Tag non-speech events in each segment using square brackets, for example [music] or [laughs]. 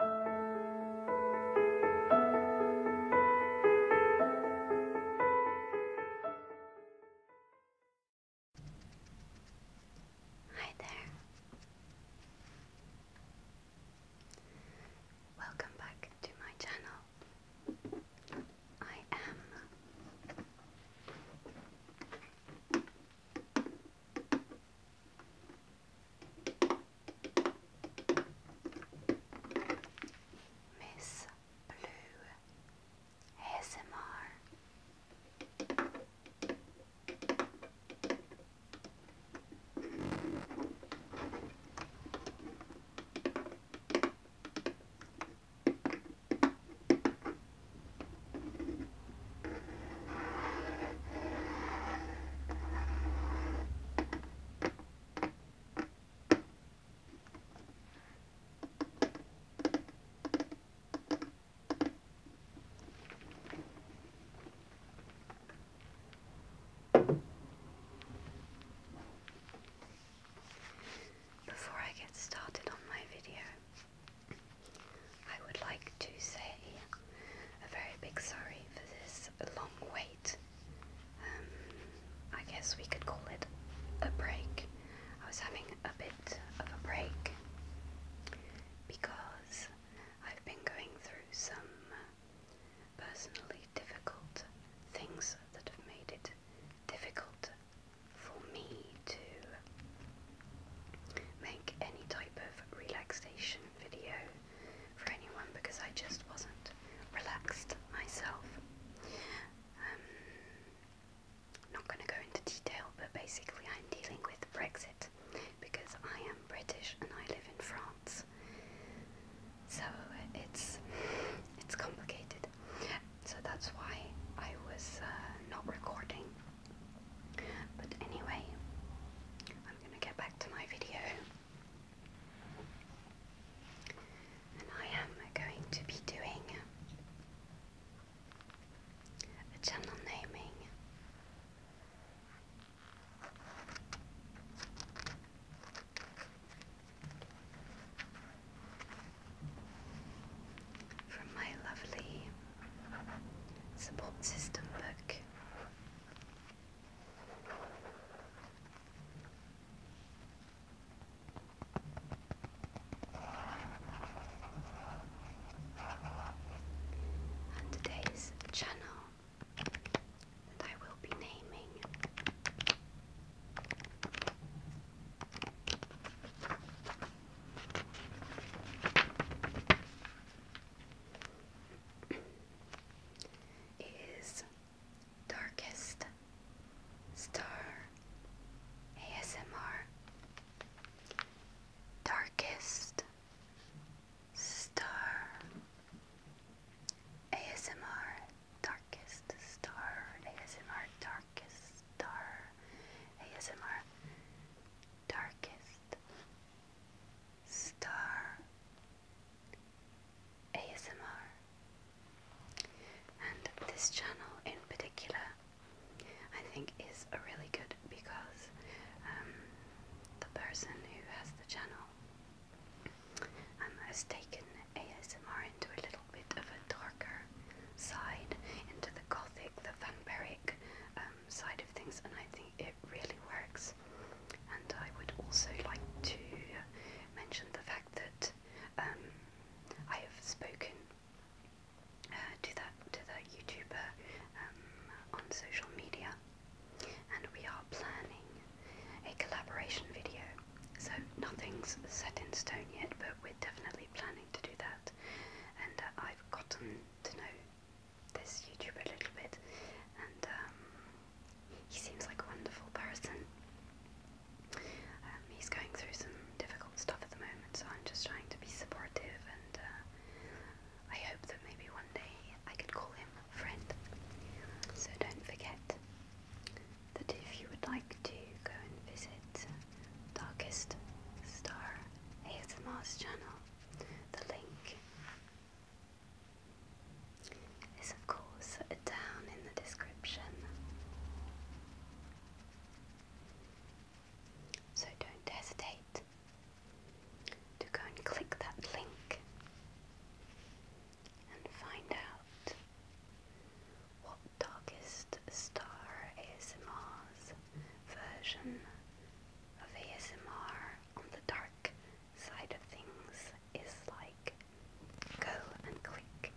Hi there. Welcome back to my channel. I am Miss Blue ASMR. Before I get started on my video, I would like to say a very big sorry for this long wait. Um, I guess we could call it a break. I was having a bit of a break because I've been going through some personally difficult things that have made it difficult for me to make any type of relaxation video for anyone because I just wasn't relaxed myself. Um, not going to go into detail, but basically, I'm dealing with Brexit because I am British and I live in France, so it's it's complicated. So that's why I was uh, not recording but anyway, I'm going to get back to my video. And I am going to be doing a channel naming. From my lovely Support system book. And today's channel that I will be naming is Darkest Star ASMR. Darkest Star ASMR. Darkest Star ASMR. Darkest Star ASMR. Darkest Star ASMR, and this channel in particular, I think, is a really good because um, the person who has the channel um, has taken ASMR into a little bit of a darker side, into the gothic, the vampiric. Uh, um, side of things, and I think it really works. And I would also like to mention the fact that um, I have spoken uh, to that to the YouTuber um, on social media, and we are planning a collaboration video. So nothing's set in stone yet, but we're definitely planning to do that. And uh, I've gotten to know this YouTuber a little bit, and um, he seems like a wonderful person. Um, he's going through some difficult stuff at the moment, so I'm just trying to be supportive, and uh, I hope that maybe one day I can call him a friend. So don't forget that if you would like to go and visit Darkest Star ASMR's channel, the link is, of course, down in the description. So don't hesitate to go and click that link and find out what darkest star ASMRs version of ASMR on the dark side of things is like go and click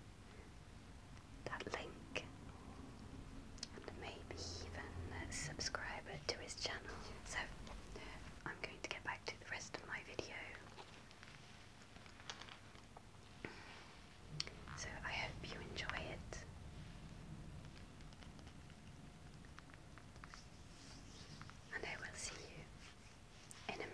that link and maybe even subscribe to his channel. So I'm going to get back to the rest of my video. So I hope you enjoy it and I will see you in a minute.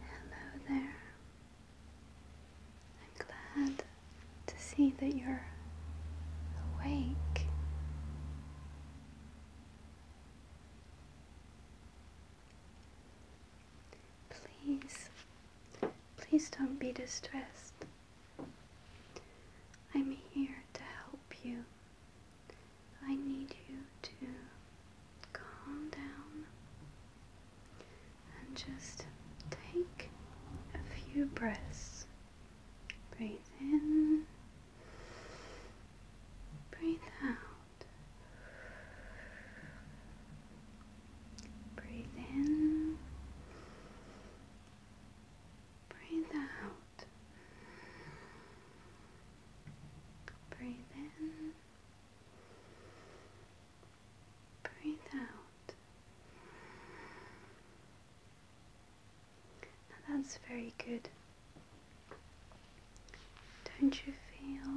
Hello there. I'm glad to see that you're awake. Please, please don't be distressed. I'm here to help you. I need you to calm down and just take a few breaths. Breathe in, breathe out. Breathe in, breathe out. Breathe in. Breathe out. that's very good. Don't you feel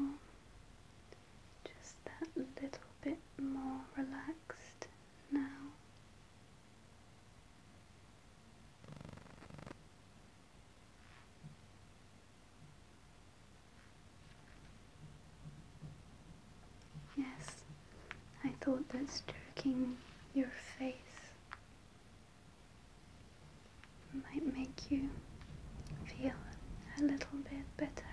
just that little bit more relaxed now? Yes, I thought that stroking your face might make you feel a little bit better.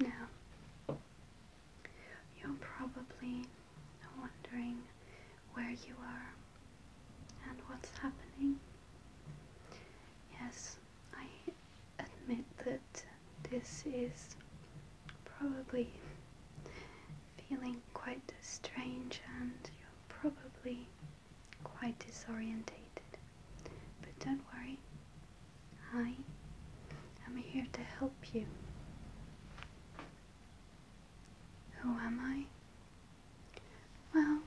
Now, you're probably wondering where you are and what's happening. Yes, I admit that this is probably feeling quite strange and you're probably quite disorientated. But don't worry, Hi, I'm here to help you. Who am I? Well,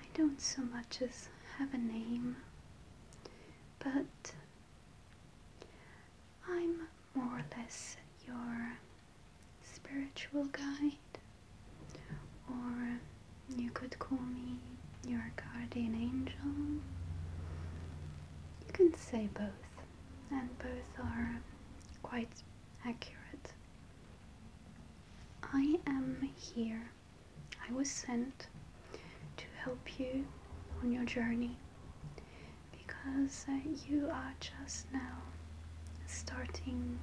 I don't so much as have a name, but I'm more or less your spiritual guide. Or you could call me your guardian angel. You can say both, and both are quite accurate. I am here. I was sent to help you on your journey because uh, you are just now starting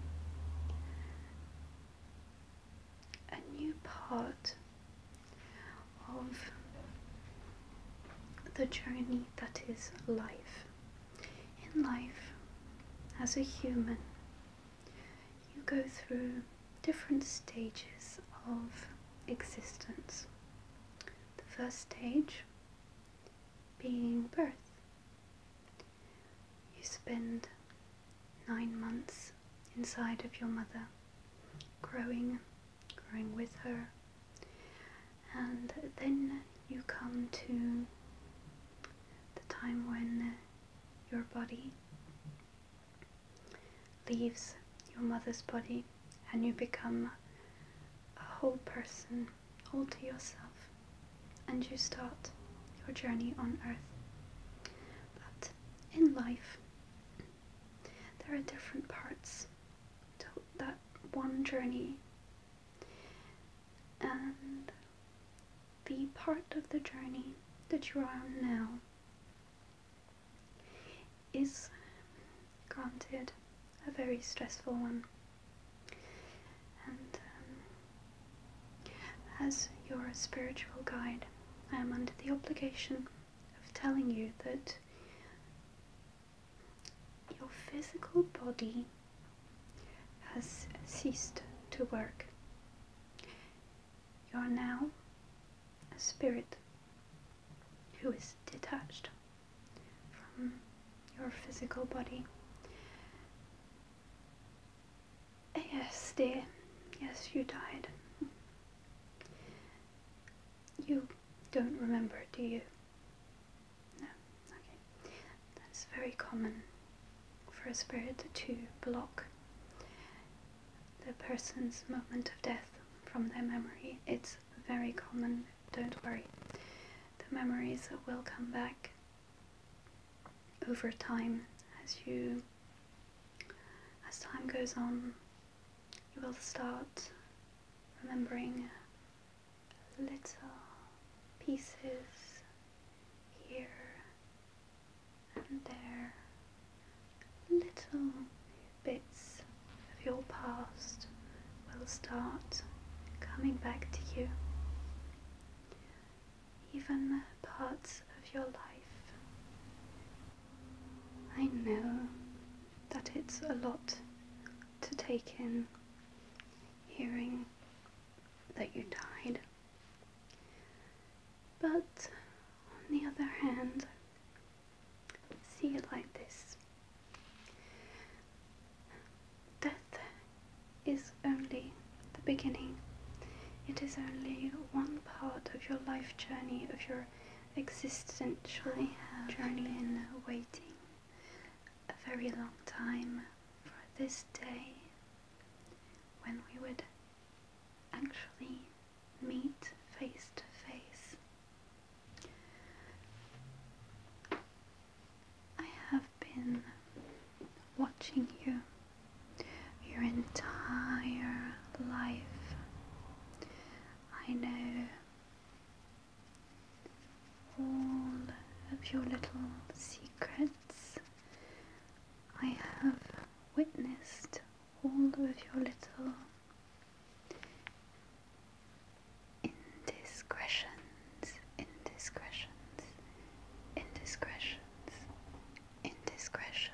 a new part of the journey that is life. In life, as a human, you go through different stages of existence. The first stage being birth. You spend nine months inside of your mother, growing, growing with her. And then you come to the time when your body leaves your mother's body and you become a whole person all to yourself and you start your journey on earth. But in life, there are different parts to that one journey, and the part of the journey that you are on now is granted a very stressful one. Um, as your spiritual guide, I am under the obligation of telling you that your physical body has ceased to work. You are now a spirit who is detached from your physical body Yes, dear. Yes, you died. You don't remember, do you? No. Okay. That's very common for a spirit to block the person's moment of death from their memory. It's very common. Don't worry. The memories will come back over time as you as time goes on you will start remembering little pieces here and there little bits of your past will start coming back to you even parts of your life. I know that it's a lot to take in hearing that you died. But on the other hand, see it like this. Death is only the beginning. It is only one part of your life journey, of your existential journey. been waiting a very long time for this day when we would actually meet face to face. I have been watching you your entire life. I know all of your little secrets. I have witnessed all of your little indiscretions, indiscretions, indiscretions, indiscretions.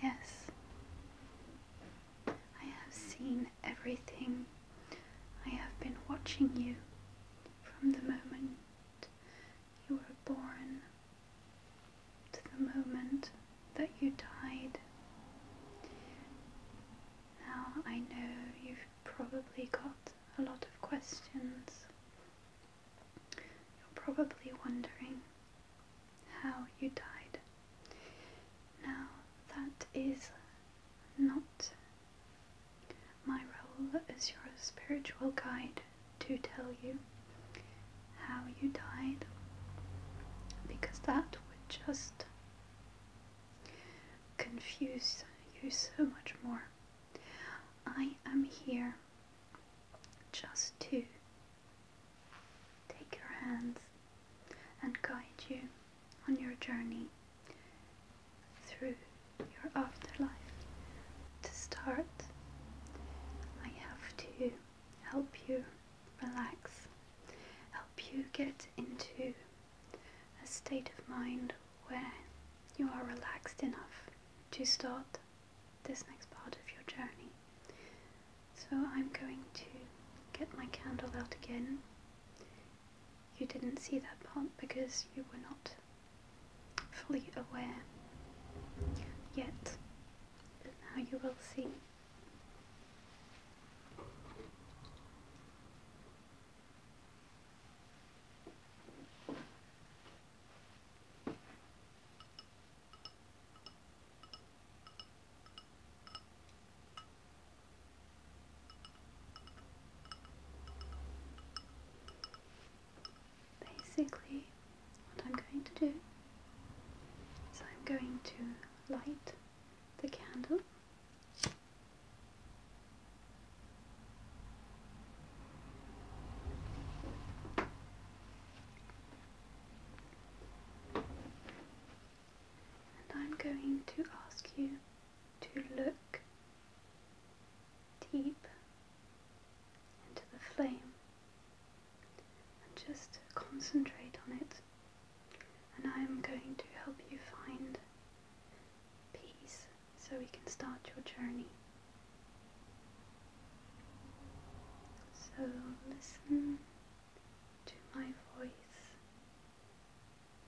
Yes, I have seen everything. I have been watching you from the moment you were born to the moment that you died. Now I know you've probably got a lot of questions you're probably wondering how you died. Now, that is not my role as your spiritual guide to tell you how you died, because that would just confuse you so much more. I am here just to take your hands and guide you on your journey through your afterlife. To start, I have to help you relax, help you get into a state of mind where you are relaxed enough to start this next part of your journey. So I'm going to get my candle out again. You didn't see that part because you were not fully aware yet, now you will see. Basically, what I'm going to do is I'm going to light the candle and I'm going to ask you to look deep into the flame and just concentrate on it. And I am going to help you find peace so we can start your journey. So listen to my voice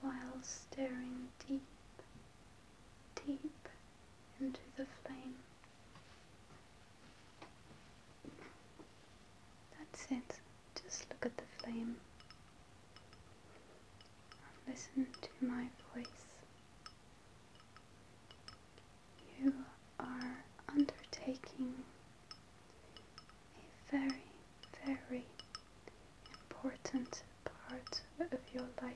while staring deep, deep into the flame. That's it. Just look at the flame. Listen to my voice you are undertaking a very, very important part of your life,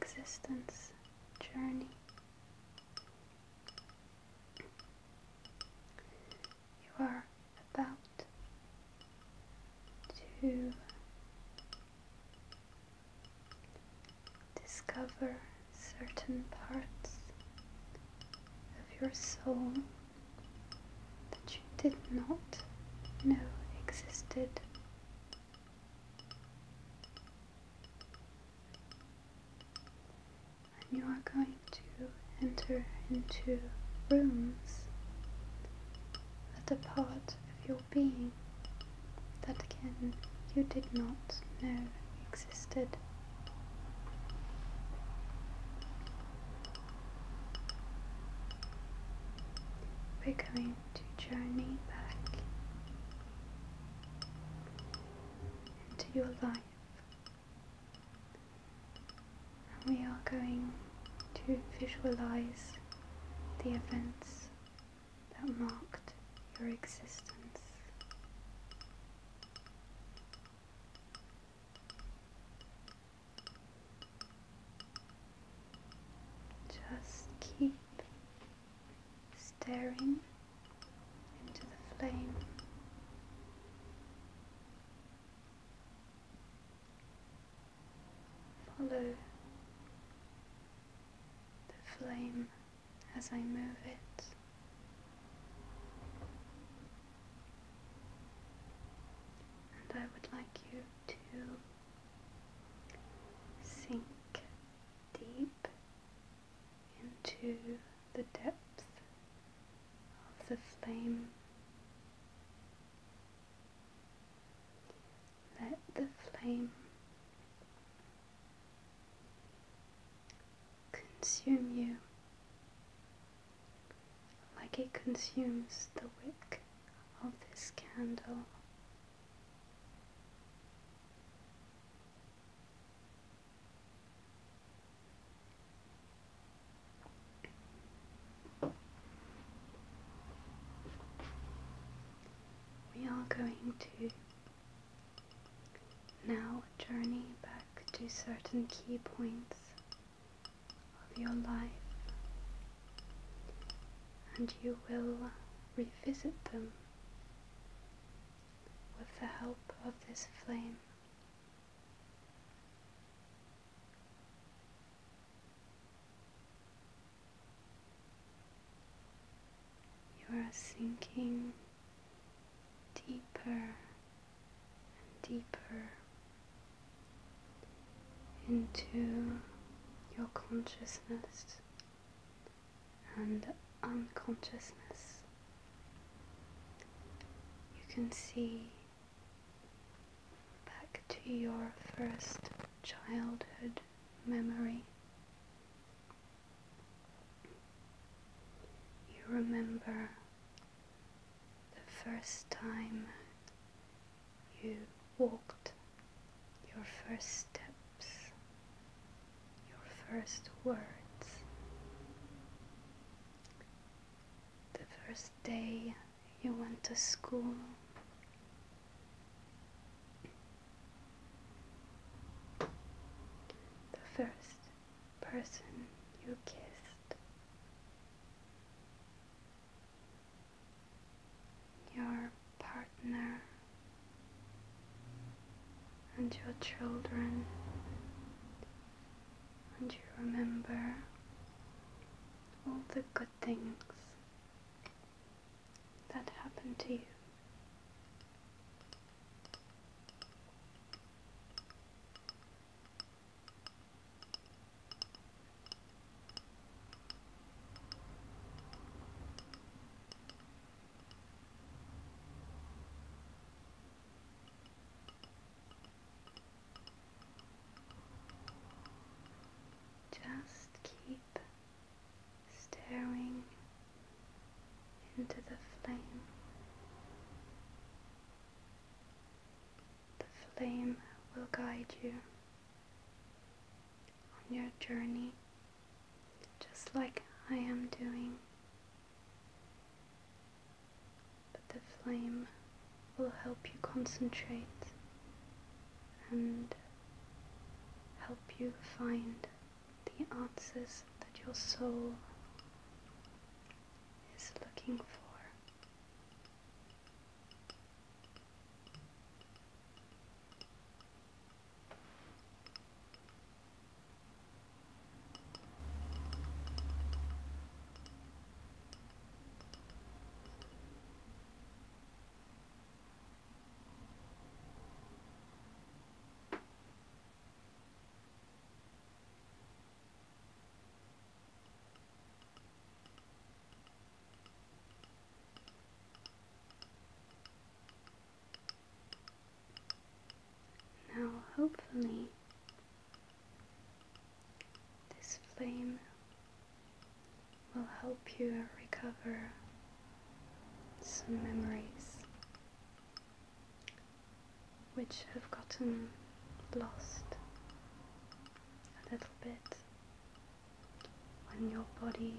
existence, journey. You are about to Discover certain parts of your soul that you did not know existed. And you are going to enter into rooms that are part of your being that again you did not know existed. We're going to journey back into your life and we are going to visualize the events that marked your existence. Just keep staring into the flame. Follow the flame as I move it. And I would like you to sink deep into the depths of the flame let the flame consume you like it consumes the wick of this candle. We are going to now journey back to certain key points of your life and you will revisit them with the help of this flame. You are sinking deeper and deeper into your consciousness and unconsciousness. You can see back to your first childhood memory you remember the first time you walked your first steps, your first words, the first day you went to school, the first person you kissed. Your partner and your children, and you remember all the good things that happened to you. Just keep staring into the flame. The flame will guide you on your journey, just like I am doing. But the flame will help you concentrate and help you find the answers that your soul is looking for. Now, hopefully, this flame will help you recover some memories which have gotten lost a little bit when your body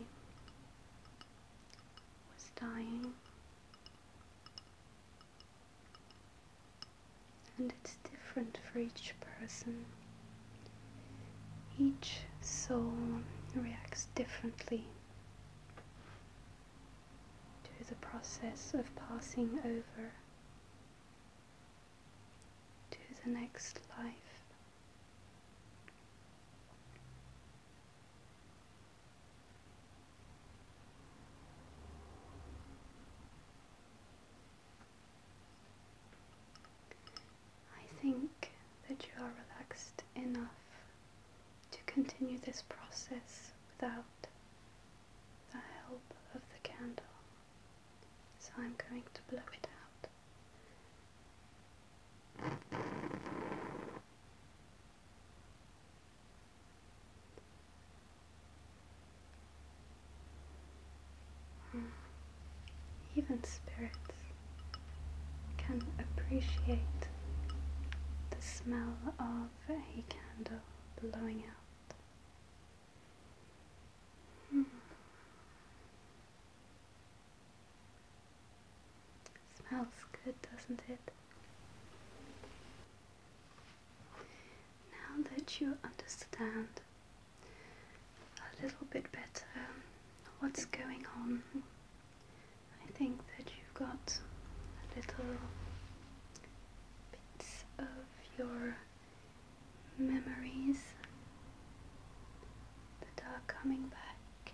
was dying. And it's different for each person. Each soul reacts differently to the process of passing over to the next life. I think that you are relaxed enough to continue this process without the help of the candle. So I'm going to blow it out. Hmm. Even spirits can appreciate the smell of a candle blowing out. Hmm. Smells good, doesn't it? Now that you understand a little bit better what's going on I think that you've got little bits of your memories that are coming back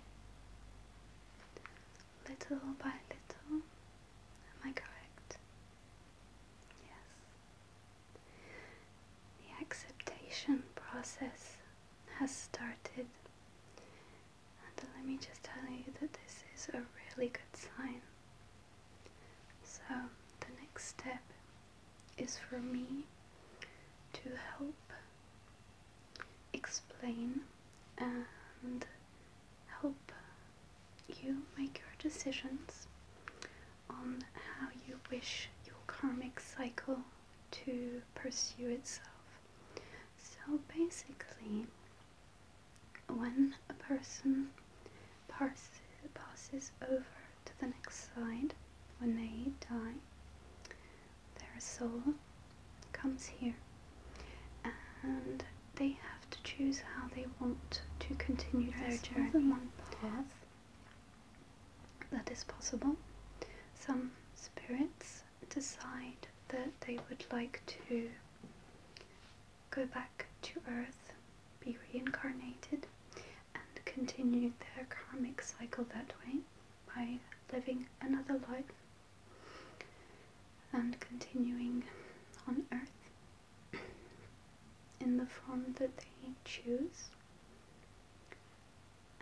little by little. Am I correct? Yes. The acceptation process has started let me just tell you that this is a really good sign. So, the next step is for me to help explain and help you make your decisions on how you wish your karmic cycle to pursue itself. So basically, when a person passes, over to the next side, when they die, their soul comes here and they have to choose how they want to continue their journey. More than one path that is possible. Some spirits decide that they would like to go back to Earth, be reincarnated, and continue their karmic cycle that way by living another life and continuing on Earth in the form that they choose.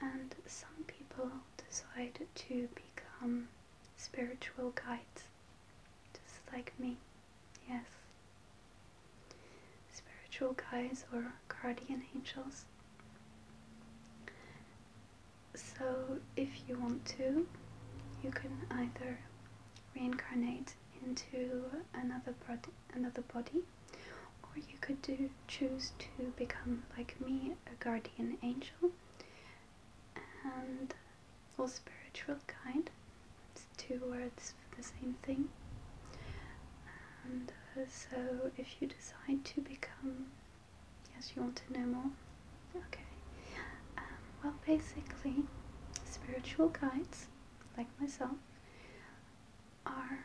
And some people decide to become spiritual guides, just like me, yes. Spiritual guides or guardian angels. So, if you want to, you can either reincarnate into another body, another body, or you could do choose to become, like me, a guardian angel and or spiritual guide. It's two words for the same thing. And uh, so, if you decide to become, yes, you want to know more. Okay. Um, well, basically, spiritual guides, like myself, are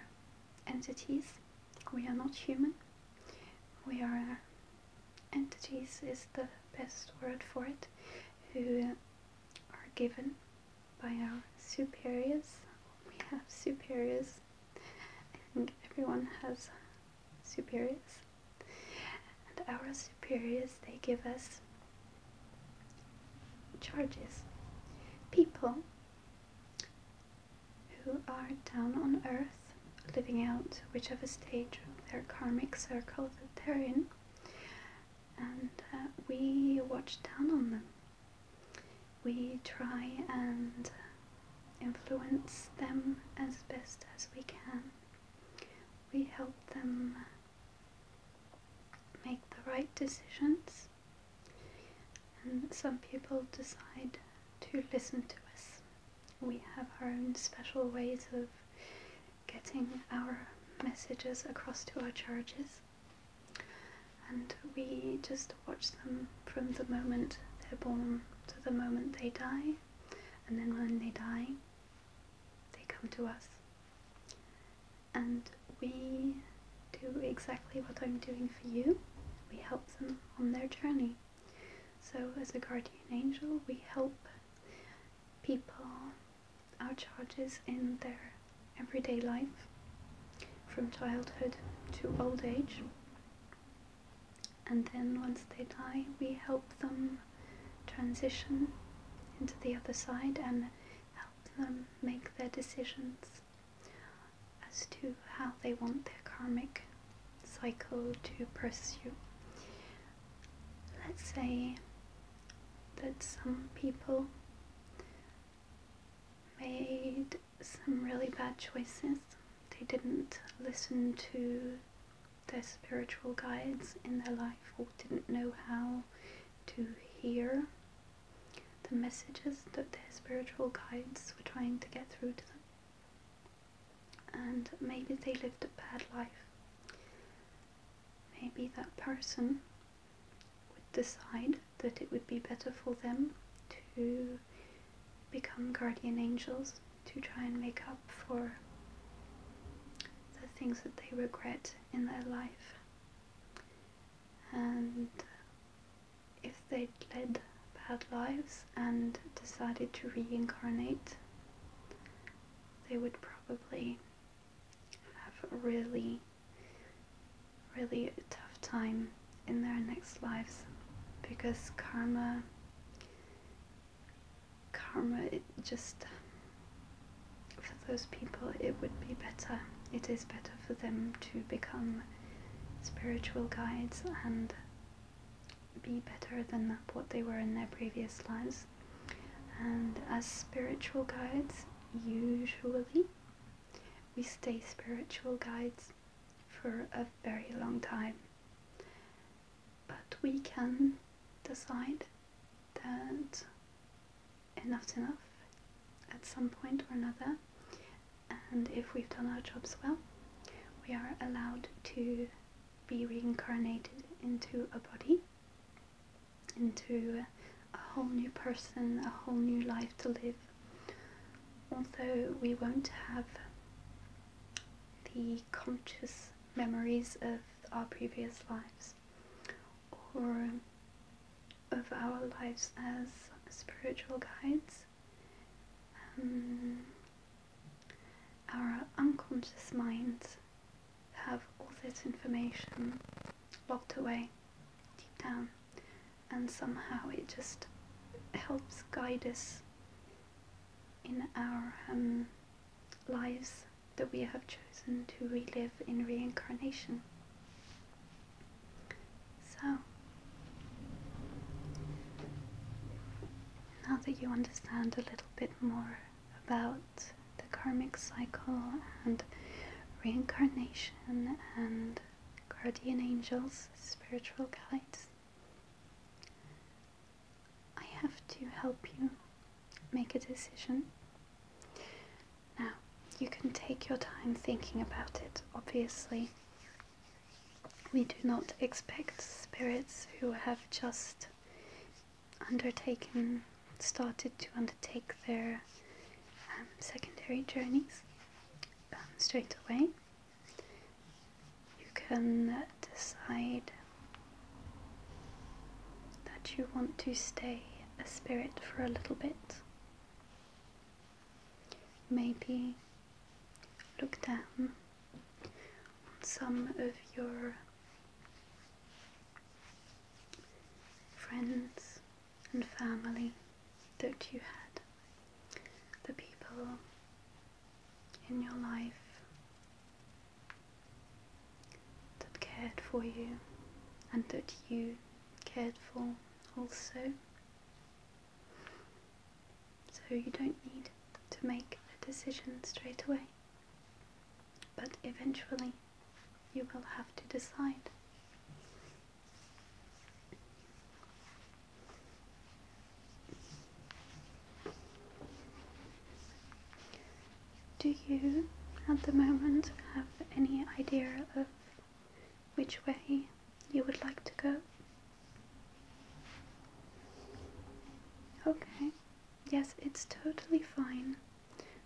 entities. We are not human we are uh, entities is the best word for it who are given by our superiors we have superiors I think everyone has superiors and our superiors they give us charges people who are down on earth, living out whichever stage of their karmic circle that they're in, and uh, we watch down on them. We try and influence them as best as we can. We help them make the right decisions, and some people decide to listen to us we have our own special ways of getting our messages across to our charges, and we just watch them from the moment they're born to the moment they die and then when they die they come to us and we do exactly what I'm doing for you we help them on their journey so, as a guardian angel, we help people, our charges in their everyday life from childhood to old age. And then once they die, we help them transition into the other side and help them make their decisions as to how they want their karmic cycle to pursue. Let's say that some people made some really bad choices. They didn't listen to their spiritual guides in their life or didn't know how to hear the messages that their spiritual guides were trying to get through to them and maybe they lived a bad life. Maybe that person would decide that it would be better for them to become guardian angels to try and make up for the things that they regret in their life. And if they'd led bad lives and decided to reincarnate, they would probably have a really, really tough time in their next lives because karma, karma, it just, for those people, it would be better. It is better for them to become spiritual guides and be better than what they were in their previous lives. And as spiritual guides, usually we stay spiritual guides for a very long time. But we can decide that enough's enough at some point or another and if we've done our jobs well, we are allowed to be reincarnated into a body, into a whole new person, a whole new life to live. Although we won't have the conscious memories of our previous lives or of our lives as spiritual guides, um, our unconscious minds have all this information locked away deep down, and somehow it just helps guide us in our um, lives that we have chosen to relive in reincarnation. So, now that you understand a little bit more about the karmic cycle and reincarnation and guardian angels, spiritual guides, I have to help you make a decision. Now, you can take your time thinking about it, obviously. We do not expect spirits who have just undertaken, started to undertake their um, secondary journeys um, straight away. You can decide that you want to stay a spirit for a little bit. Maybe look down on some of your friends and family that you had, the people in your life that cared for you and that you cared for also. So you don't need to make a decision straight away, but eventually you will have to decide. Do you at the moment have any idea of which way you would like to go? Okay, yes, it's totally fine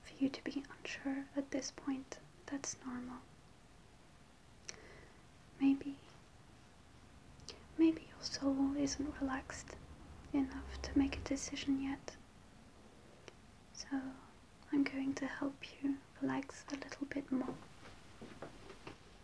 for you to be unsure at this point. That's normal. Maybe, maybe your soul isn't relaxed enough to make a decision yet. So I'm going to help you relax a little bit more.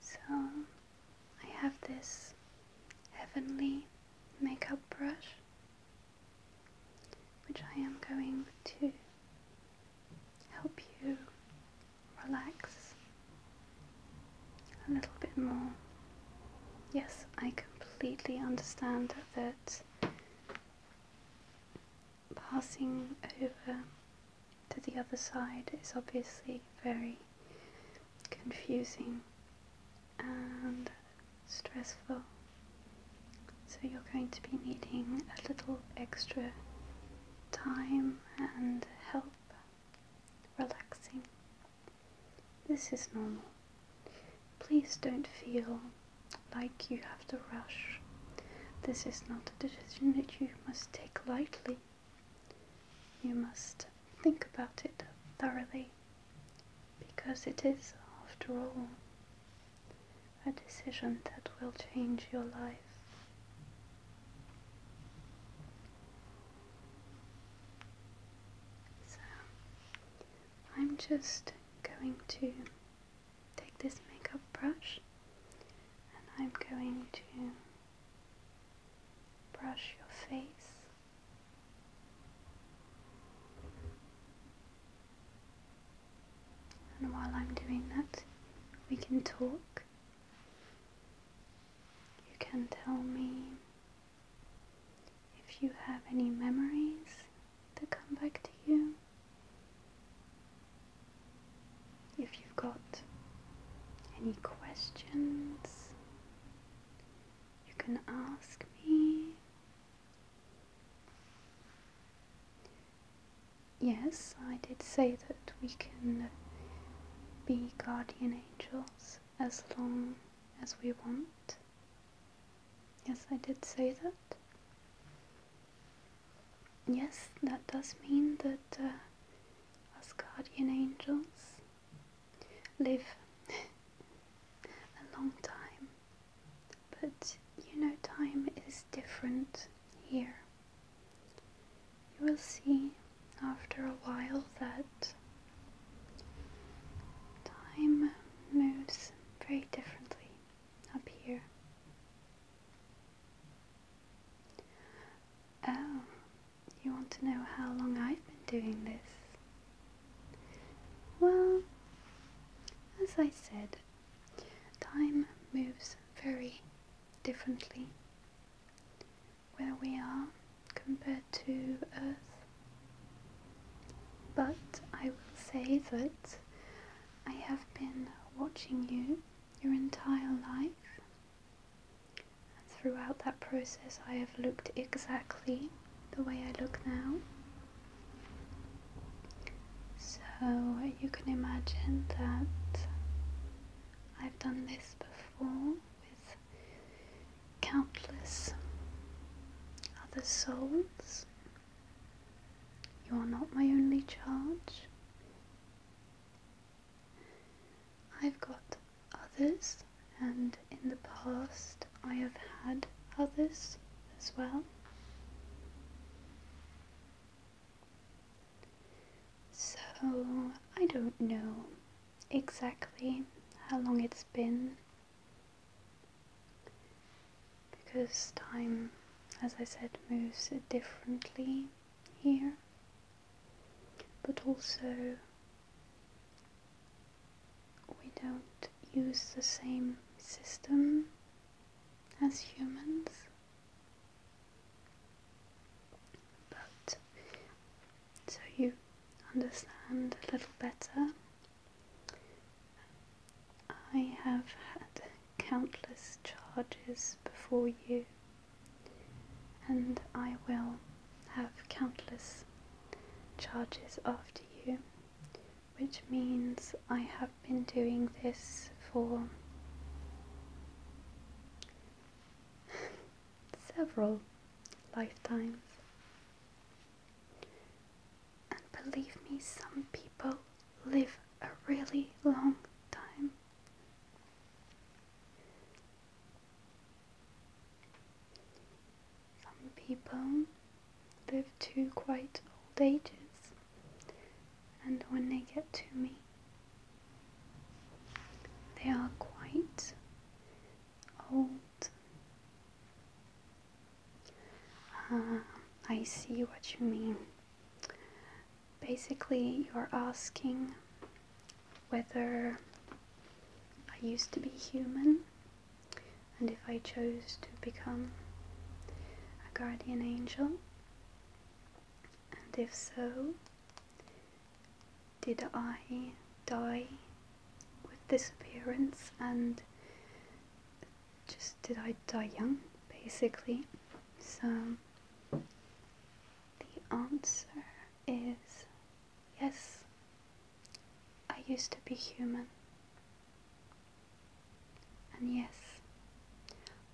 So I have this heavenly makeup brush which I am going to help you relax a little bit more. Yes, I completely understand that passing over to the other side is obviously very confusing and stressful. So you're going to be needing a little extra time and help relaxing. This is normal. Please don't feel like you have to rush. This is not a decision that you must take lightly. You must think about it thoroughly because it is, after all, a decision that will change your life. So, I'm just going to take this makeup brush and I'm going to brush your face. And while I'm doing that, we can talk. You can tell me if you have any memories that come back to you, if you've got any questions, you can ask me. Yes, I did say that we can be guardian angels as long as we want. Yes, I did say that. Yes, that does mean that uh, us guardian angels live [laughs] a long time. But you know, time is different here. You will see after a while that time moves very differently up here. Oh, you want to know how long I've been doing this? Well, as I said, time moves very differently where we are compared to Earth. But I will say that I have been watching you your entire life and throughout that process, I have looked exactly the way I look now. So you can imagine that I've done this before with countless other souls. You are not my only charge. I've got others, and in the past I have had others as well. So I don't know exactly how long it's been because time, as I said, moves differently here, but also we don't use the same system as humans. But so you understand a little better, I have had countless charges before you, and I will have countless charges after you, which means I have been doing this for several lifetimes. And believe me, some people live a really long time. Some people live to quite old ages, and when they get to me, they are quite old. Uh, I see what you mean basically you're asking whether I used to be human and if I chose to become a guardian angel and if so did I die with this appearance and just did I die young basically so the answer is yes, I used to be human. And yes,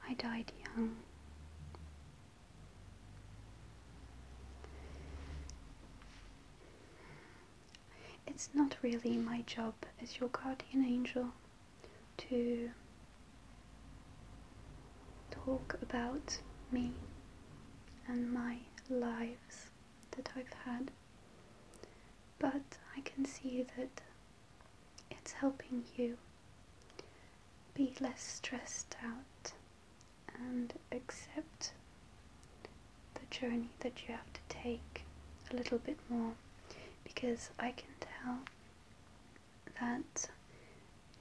I died young. It's not really my job as your guardian angel to talk about me and my lives that I've had, but I can see that it's helping you be less stressed out and accept the journey that you have to take a little bit more because I can tell that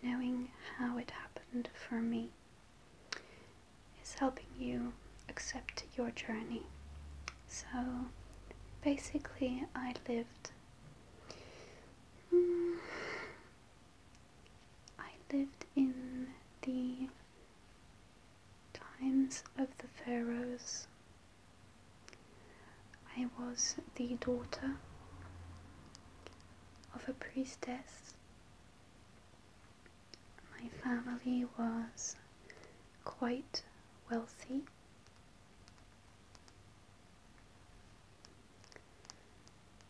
knowing how it happened for me is helping you accept your journey. So basically, I lived. Mm, I lived in the times of the pharaohs. I was the daughter of a priestess. My family was quite wealthy.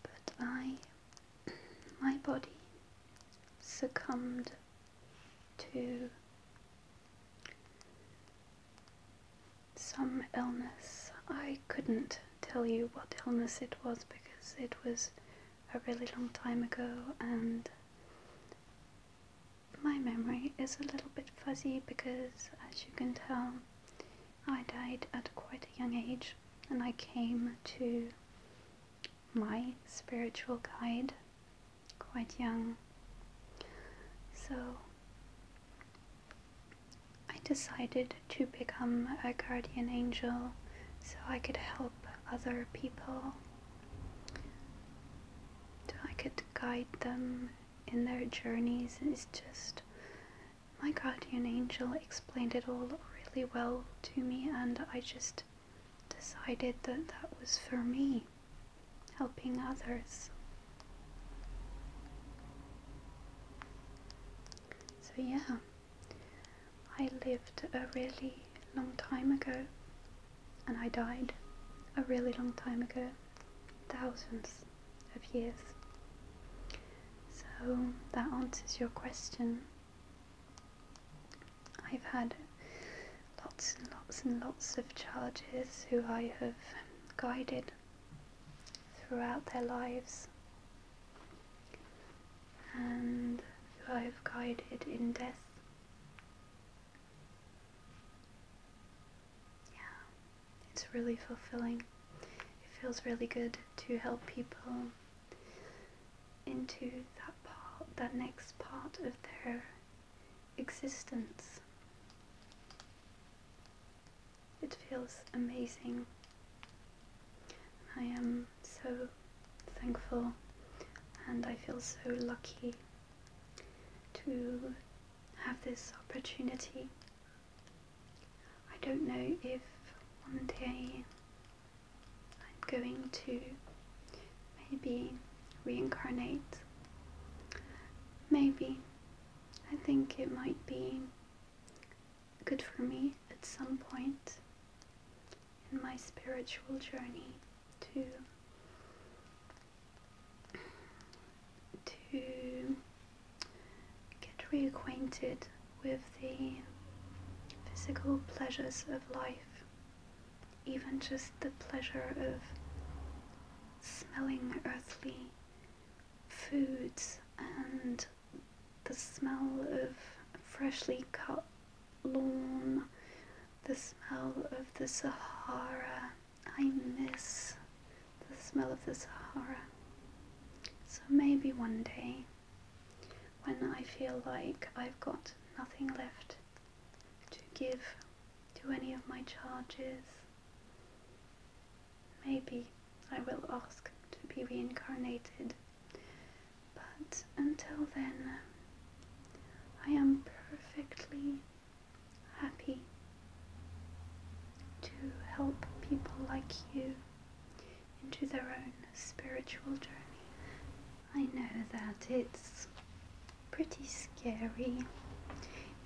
But I, [clears throat] my body succumbed to some illness. I couldn't tell you what illness it was because it was a really long time ago and my memory is a little bit fuzzy because as you can tell I died at quite a young age and I came to my spiritual guide quite young. So I decided to become a guardian angel so I could help other people, I could guide them in their journeys. It's just my guardian angel explained it all really well to me, and I just decided that that was for me, helping others. So, yeah, I lived a really long time ago and I died a really long time ago, thousands of years. So, that answers your question. I've had lots and lots and lots of charges who I have guided throughout their lives and who I have guided in death. Yeah, it's really fulfilling. It feels really good to help people into that part, that next part of their existence. It feels amazing. I am so thankful and I feel so lucky to have this opportunity. I don't know if one day I'm going to maybe reincarnate. Maybe. I think it might be good for me at some point in my spiritual journey to to get reacquainted with the physical pleasures of life even just the pleasure of smelling earthly foods and the smell of freshly cut lawn, the smell of the Sahara. I miss the smell of the Sahara. So maybe one day when I feel like I've got nothing left to give to any of my charges, Maybe I will ask to be reincarnated, but until then, I am perfectly happy to help people like you into their own spiritual journey. I know that it's pretty scary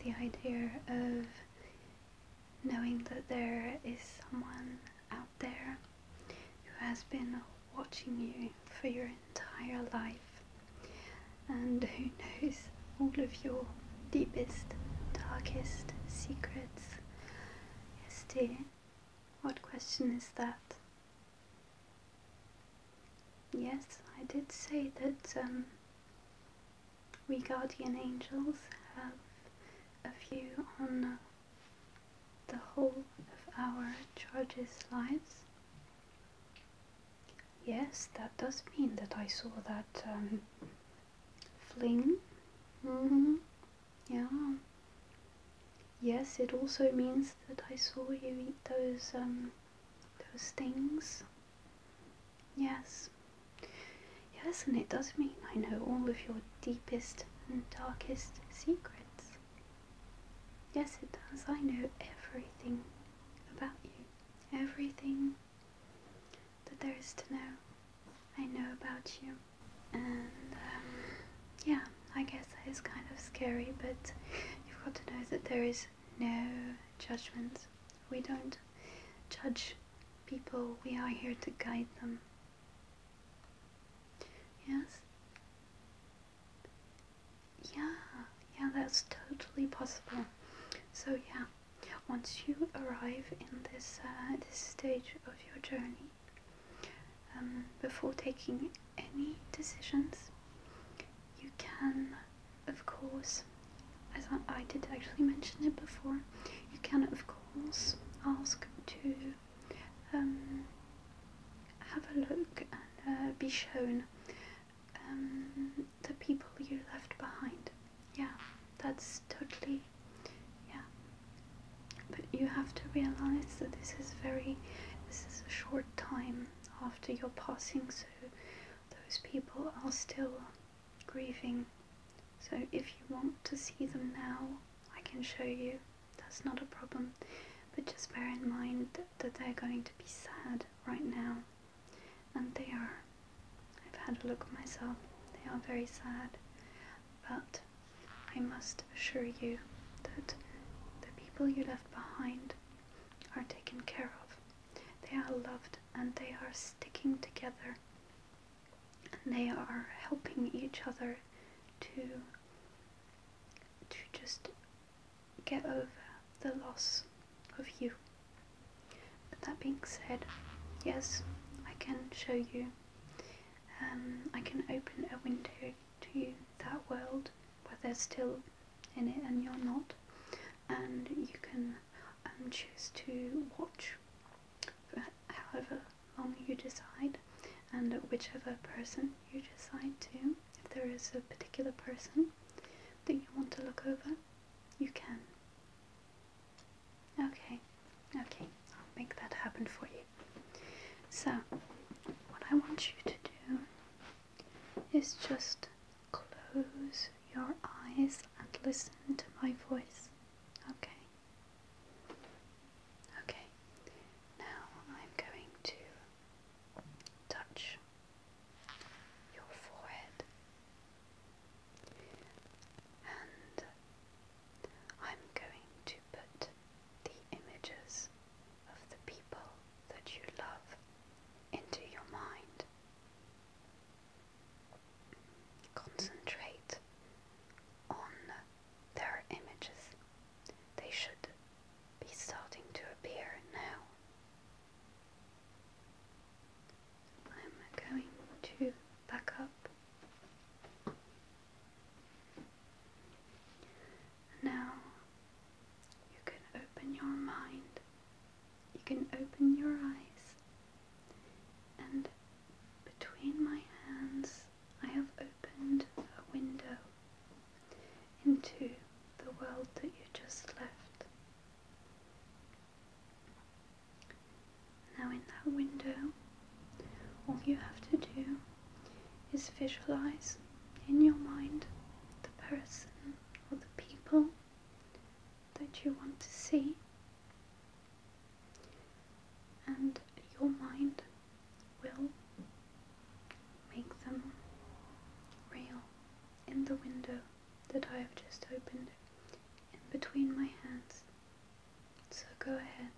the idea of knowing that there is someone out there who has been watching you for your entire life and who knows all of your deepest, darkest secrets. Yes, dear, what question is that? Yes, I did say that um, we guardian angels have a view on the whole of our charges' lives. Yes, that does mean that I saw that um, fling. Mm-hmm. Yeah. Yes, it also means that I saw you eat those um, those things. Yes. Yes, and it does mean I know all of your deepest and darkest secrets. Yes, it does. I know everything about you. Everything that there is to know, I know about you. And um, yeah, I guess that is kind of scary, but you've got to know that there is no judgment. We don't judge people, we are here to guide them. Yes? Yeah, yeah, that's totally possible. So yeah, once you arrive in this uh, this stage of your journey, um, before taking any decisions, you can, of course, is, as I, did actually mention it before, you can of course ask to um, have a look and uh, be shown um, the people you left behind. Yeah, that's totally, yeah. But you have to realize that this is very, this is a short time after your passing, so those people are still grieving. So if you want to see them now, I can show you. That's not a problem. But just bear in mind that, they're going to be sad right now. And they are. I've had a look myself. They are very sad. But I must assure you that the people you left behind are taken care of. They are loved and they are sticking together and they are helping each other to to just get over the loss of you. But that being said, yes, I can show you. Um, I can open a window to that world where they're still in it and you're not, and you can um, choose to watch for however long you decide and whichever person you decide to. If there is a particular person that you want to look over, you can. Okay, okay, I'll make that happen for you. So, what I want you to do is just close your eyes and listen to my voice. Okay. Okay. Now I'm going to touch your forehead. And I'm going to put the images of the people that you love into your mind concentrate on their images. They should be starting to appear now. I'm going to back up. Now you can open your mind, you can open your eyes, and between my hands I have opened a window into the world that you just left. Now, in that window, all you have to do is visualize in your mind the person or the people that you want to see and your mind will make them real in the window that I have just opened in between my hands. So go ahead.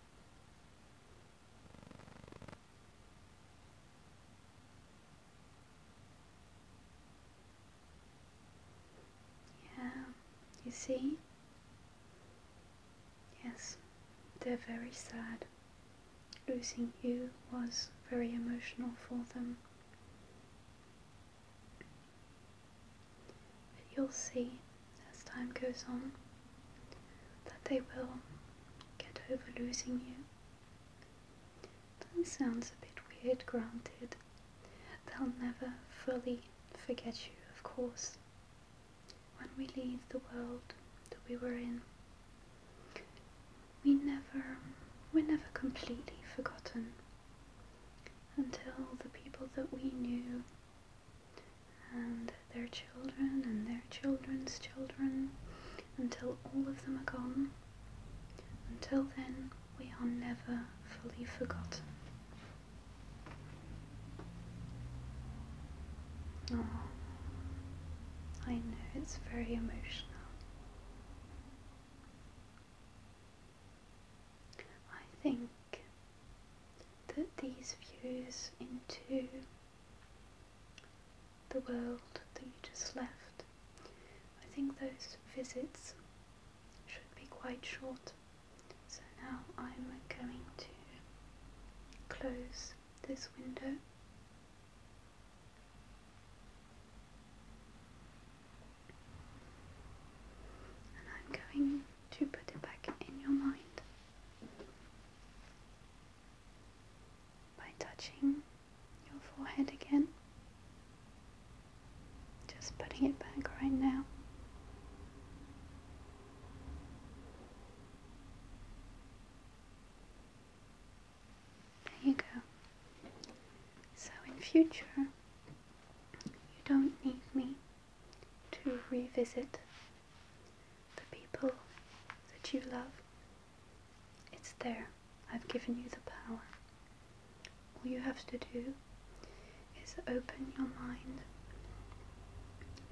Yeah, you see? Yes, they're very sad. Losing you was very emotional for them. But you'll see as time goes on that they will get over losing you. That sounds a bit weird, granted. They'll never fully forget you, of course, when we leave the world that we were in. We never, we're never completely forgotten until the people that we knew and their children and their children's children until all of them are gone. Until then, we are never fully forgotten. Oh, I know it's very emotional. I think that these views into the world that you just left, I think those visits should be quite short. So now I'm going to close this window. And I'm going to put it back in your mind by touching your forehead again just putting it back right now. There you go. So in future, you don't need me to revisit the people that you love. It's there. I've given you the power all you have to do is open your mind,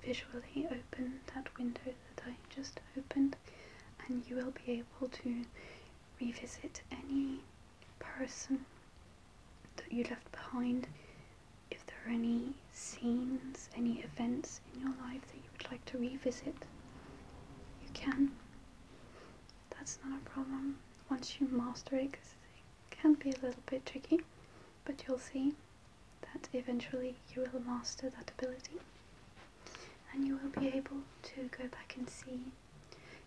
visually open that window that I just opened, and you will be able to revisit any person that you left behind. If there are any scenes, any events in your life that you would like to revisit, you can. That's not a problem once you master it, can be a little bit tricky, but you'll see that eventually you will master that ability and you will be able to go back and see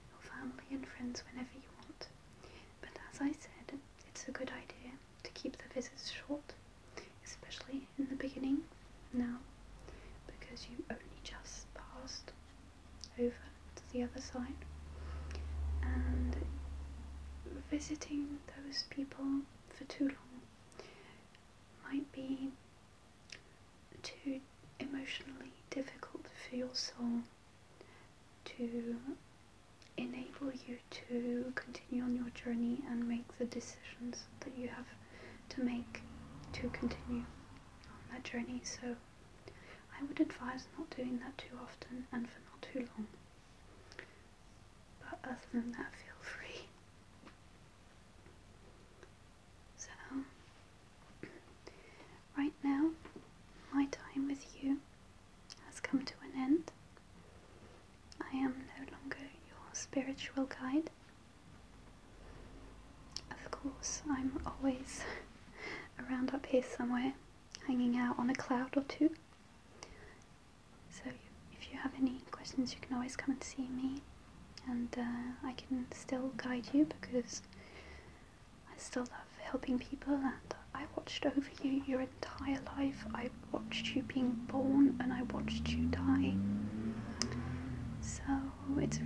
your family and friends whenever you want. But as I said, it's a good idea to keep the visits short, especially in the beginning now, because you only just passed over to the other side and visiting those people for too long might be too emotionally difficult for your soul to enable you to continue on your journey and make the decisions that you have to make to continue on that journey. So I would advise not doing that too often and for not too long. But other than that, feel free. So, right now, my time with you has come to an end. I am no longer your spiritual guide. Of course, I'm always [laughs] around up here somewhere hanging out on a cloud or two. So if you have any questions, you can always come and see me, and uh, I can still guide you because I still love helping people. And I watched over you your entire life. I watched you being born, and I watched you die. So it's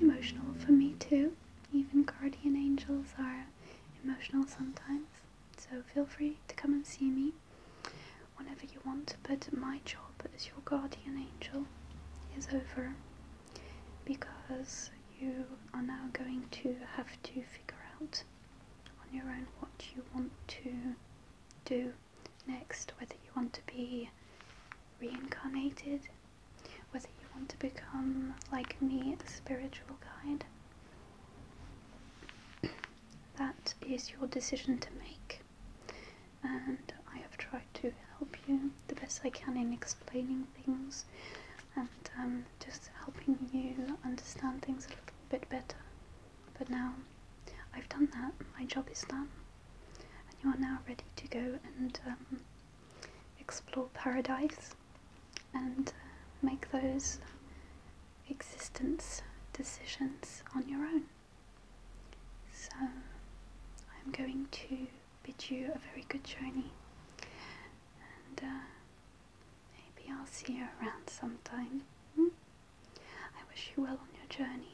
emotional for me too. Even guardian angels are emotional sometimes, so feel free to come and see me whenever you want. But my job as your guardian angel is over because you are now going to have to figure out on your own what you want to do next, whether you want to be reincarnated whether you want to become, like me, a spiritual guide. [clears throat] That is your decision to make, and I have tried to help you the best I can in explaining things and um, just helping you understand things a little bit better. But now I've done that, my job is done, and you are now ready to go and um, explore paradise and uh, make those existence decisions on your own. So, I'm going to bid you a very good journey, and uh, maybe I'll see you around sometime. Hmm? I wish you well on your journey.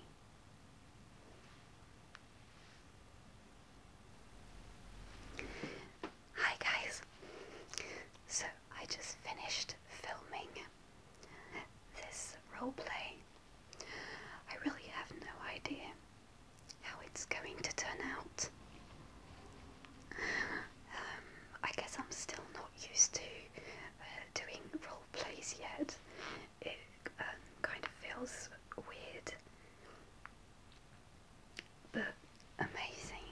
Hi guys! So I just finished filming this roleplay. I really have no idea how it's going to turn out. Um, I guess I'm still not used to uh, doing role plays yet. It um, kind of feels weird but amazing.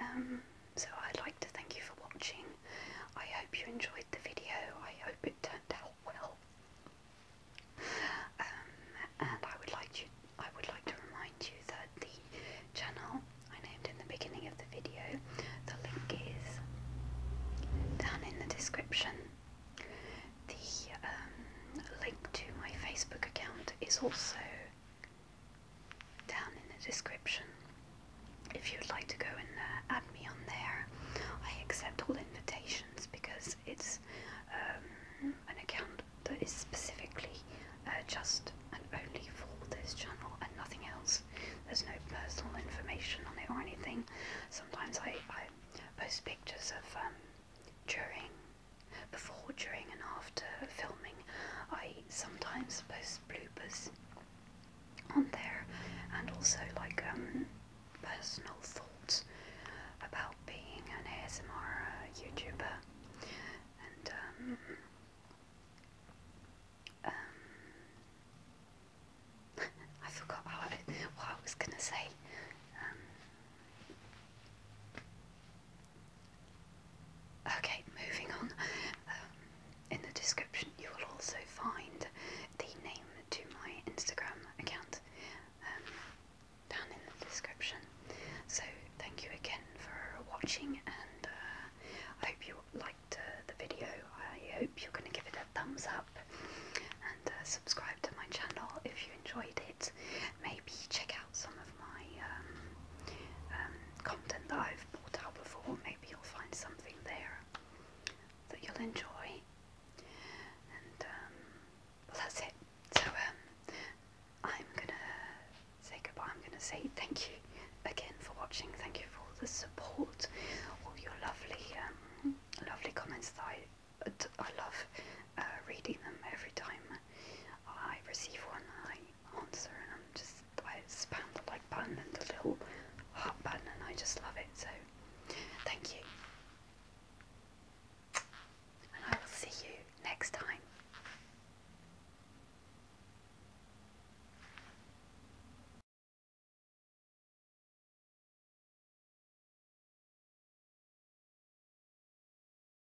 Um, so I'd like to thank you for watching. I hope you enjoyed the video. I hope it turned out well. Um, and I would like you, I would like to remind you that the channel I named in the beginning of the video, the link is down in the description. The um, link to my Facebook account is also down in the description. If you'd like to go and uh, add me on there, I accept all invitations because it's um, an account that is specifically uh, just and only for this channel and nothing else. There's no personal information on it or anything. Sometimes I, I post pictures of um, during, before, during, and after filming, I sometimes post bloopers on there and also like um, personal thoughts about being an ASMR uh, YouTuber and um, um, [laughs] I forgot how what I was gonna say. Um, Okay, moving on. Um, in the description, you will also find the name to my Instagram account um, down in the description. So, thank you again for watching, and uh, I hope you liked uh, the video. I hope you're going to give it a thumbs up and uh, subscribe to my channel if you enjoyed it. Maybe check out some of my um, um, content that I've brought out before. Maybe you'll find something there that you'll enjoy. And um, well, that's it. So I'm gonna say goodbye. I'm gonna say thank you again for watching. Thank you for all the support, all your lovely, lovely comments that I, I love uh, reading them every time I receive one, I answer, and I'm just, I spam the like button and the little heart button, and I just love it. So, thank you. And I will see you next time.